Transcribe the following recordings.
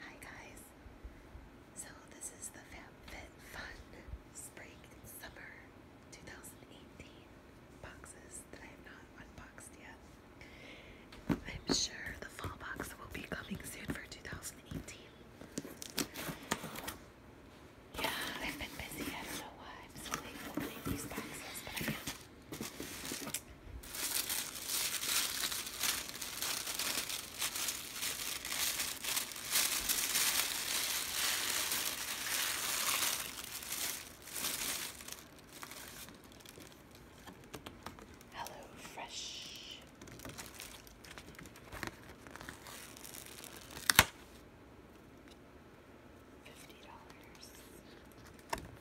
Hi guys! So this is the FabFitFun Spring Summer 2018 boxes that I have not unboxed yet. I'm sure the fall box will be coming soon for 2018. Yeah, I've been busy. I I'm slowly opening these boxes, but I am. Hello, fresh. Fifty dollars.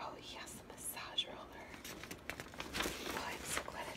Oh, yes, a massage roller. Oh, I'm so glad I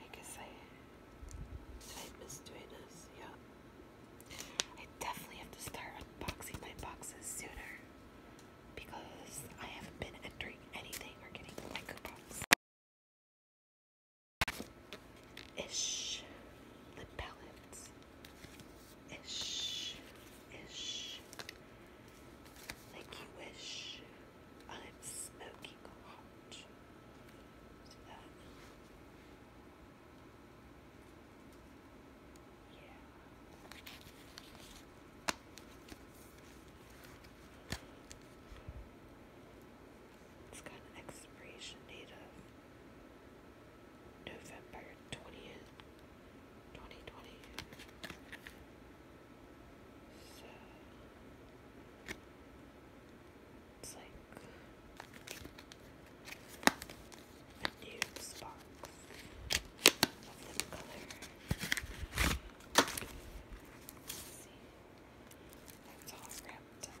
I guess I did I miss doing this? Yeah. I definitely have to start unboxing my boxes sooner because I haven't been entering anything or getting my coupons. Ish lip palettes. Ish. Ish. Like you wish. I'm smoking hot. Yeah. It's got an expiration date of November 20th, 2020. So it's like a nude spark of lip color. Let's see, that's all wrapped up.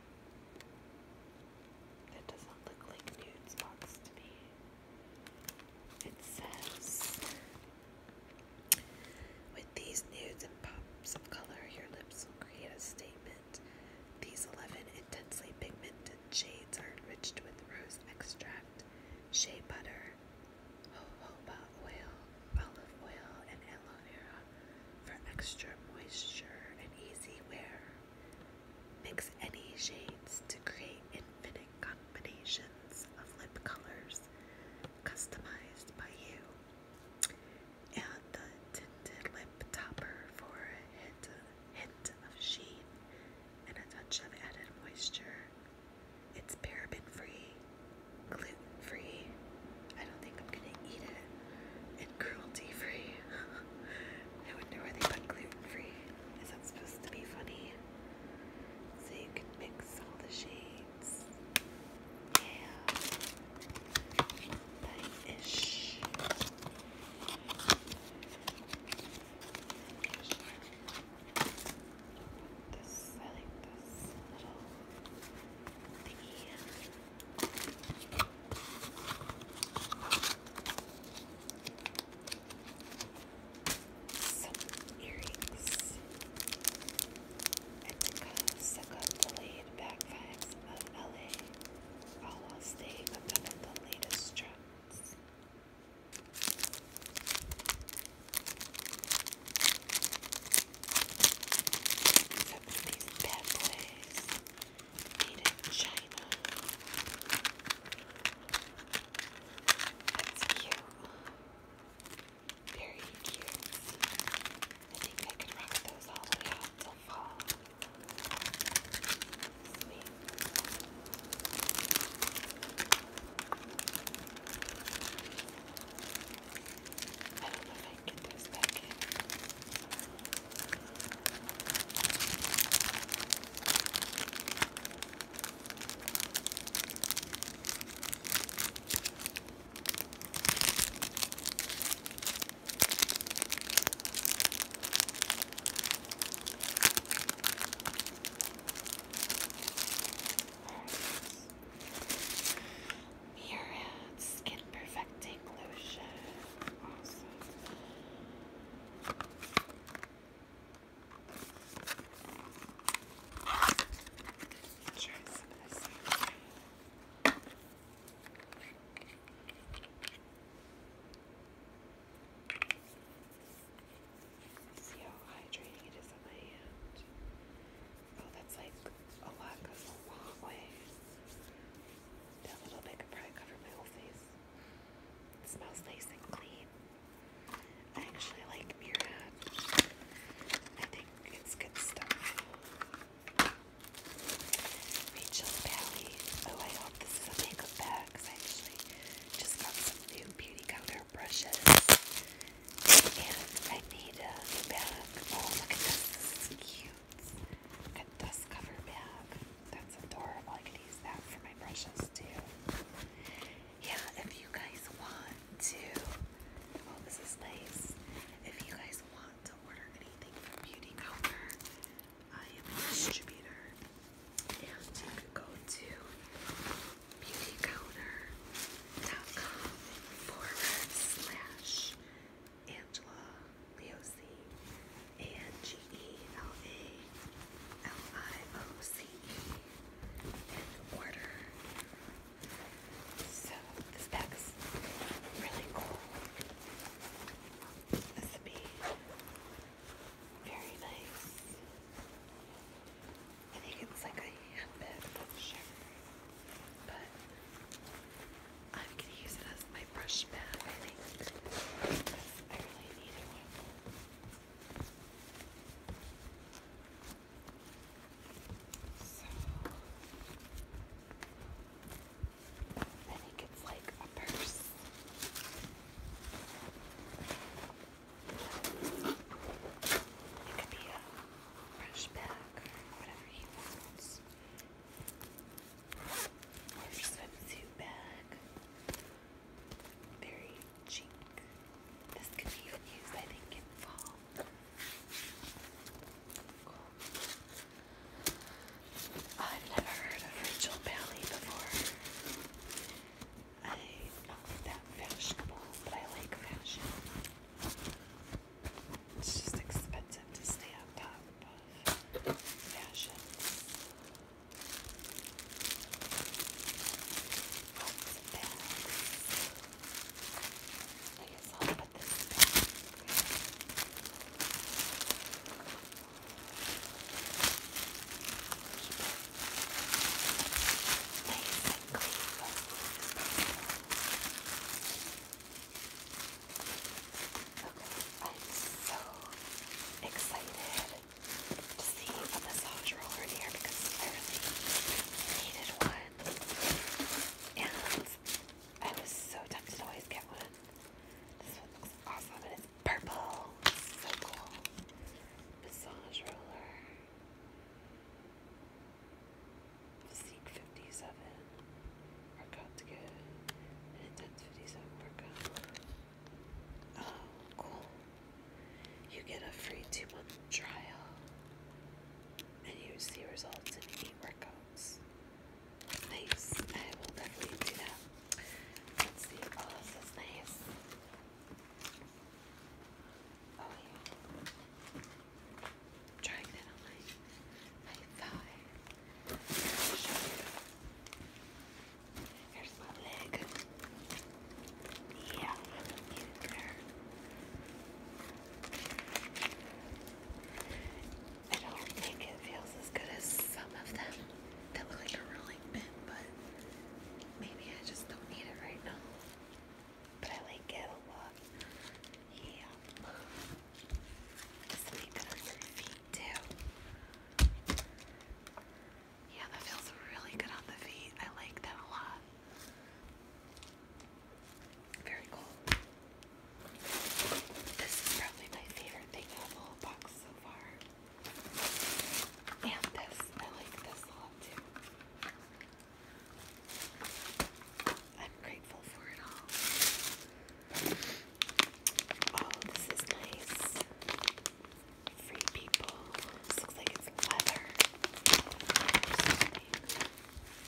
That doesn't look like nude spots to me. It says, with these nudes and pops of color, your lips will create a statement. These 11 intensely pigmented shades are enriched with rose extract, shea butter, jojoba oil, olive oil, and aloe vera for extra moisture and easy wear. Mix any shades to create infinite combinations of lip colors customized by you. And the tinted lip topper for a hint, hint of sheen and a touch of added moisture. It's paraben free gluten free. I don't think I'm gonna eat it. And cruelty free. I wonder where they put gluten free. Is that supposed to be funny? So you can mix all the shades. Yeah. nice I like this little thingy. Some earrings. And to suck of LA, all while staying up the latest trends. Some of these bad boys made in China. That's cute. Very cute. I think I could rock those all the way out till fall. I don't know if I can get those back in. Murad Skin Perfecting Lotion. Awesome. See how hydrating it is on my hand. Oh, that's like a lot goes a long way. That little bit could probably my whole face. smells nice and clean. I actually like Murad. I think it's good stuff. Rachel Pally. Oh, I hope this is a makeup bag because I actually just got some new beauty counter brushes. And I made a bag. Oh, look at this. This is cute. Look at this cover bag. That's adorable. I could use that for my brushes too. Yeah, if you guys want to. Oh, this is nice. If you guys want to order anything from Beauty Counter, I am a distributor. And you can go to beautycounter.com forward slash Angela Leosi, A-N-G-E-L-A-L-I-O-C-E, and order. So this pack's really cool. This would be very nice. I think it's like a handbag, I'm But I'm gonna use it as my brush bag, I think. Because I really needed one. So I think it's like a purse. It could be a brush back or whatever he wants. Or a swimsuit bag. Very cheap. This could be used, I think, in fall. I've never heard of Rachel Bailey before. I'm not that fashionable, but I like fashion. It's just expensive to stay on top of fashion. I guess I'll put this Nice and clean. Okay, I'm so excited to see a massage roller here because I really needed one. And I was so tempted to always get one. This one looks awesome and purple. So cool. Massage roller. 57. Workout to get an intense Oh, cool. You get a free two month trial and you see results in eight workouts. Nice. I will definitely do that. Let's see. Oh, this is nice. Oh yeah. Trying that on my thigh. Here's my leg. Yeah, I don't think it feels as good as some of them that look like a rolling pin, but maybe I just don't need it right now. But I like it a lot. Yeah. Just make it on feet too. Yeah, that feels really good on the feet. I like that a lot. Very cool. This is probably my favorite thing in the whole box so far. And this. I like this a lot too. I'm grateful for it all. Oh, this is nice. Free people. looks like it's leather.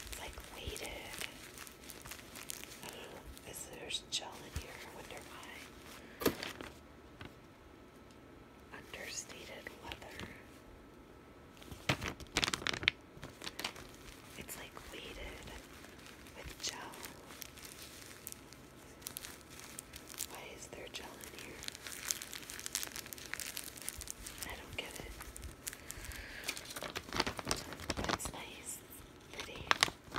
It's like weighted. I do gel in here. I wonder why understated leather. It's like weighted with gel. Why is there gel in here? I don't get it. That's nice. pretty.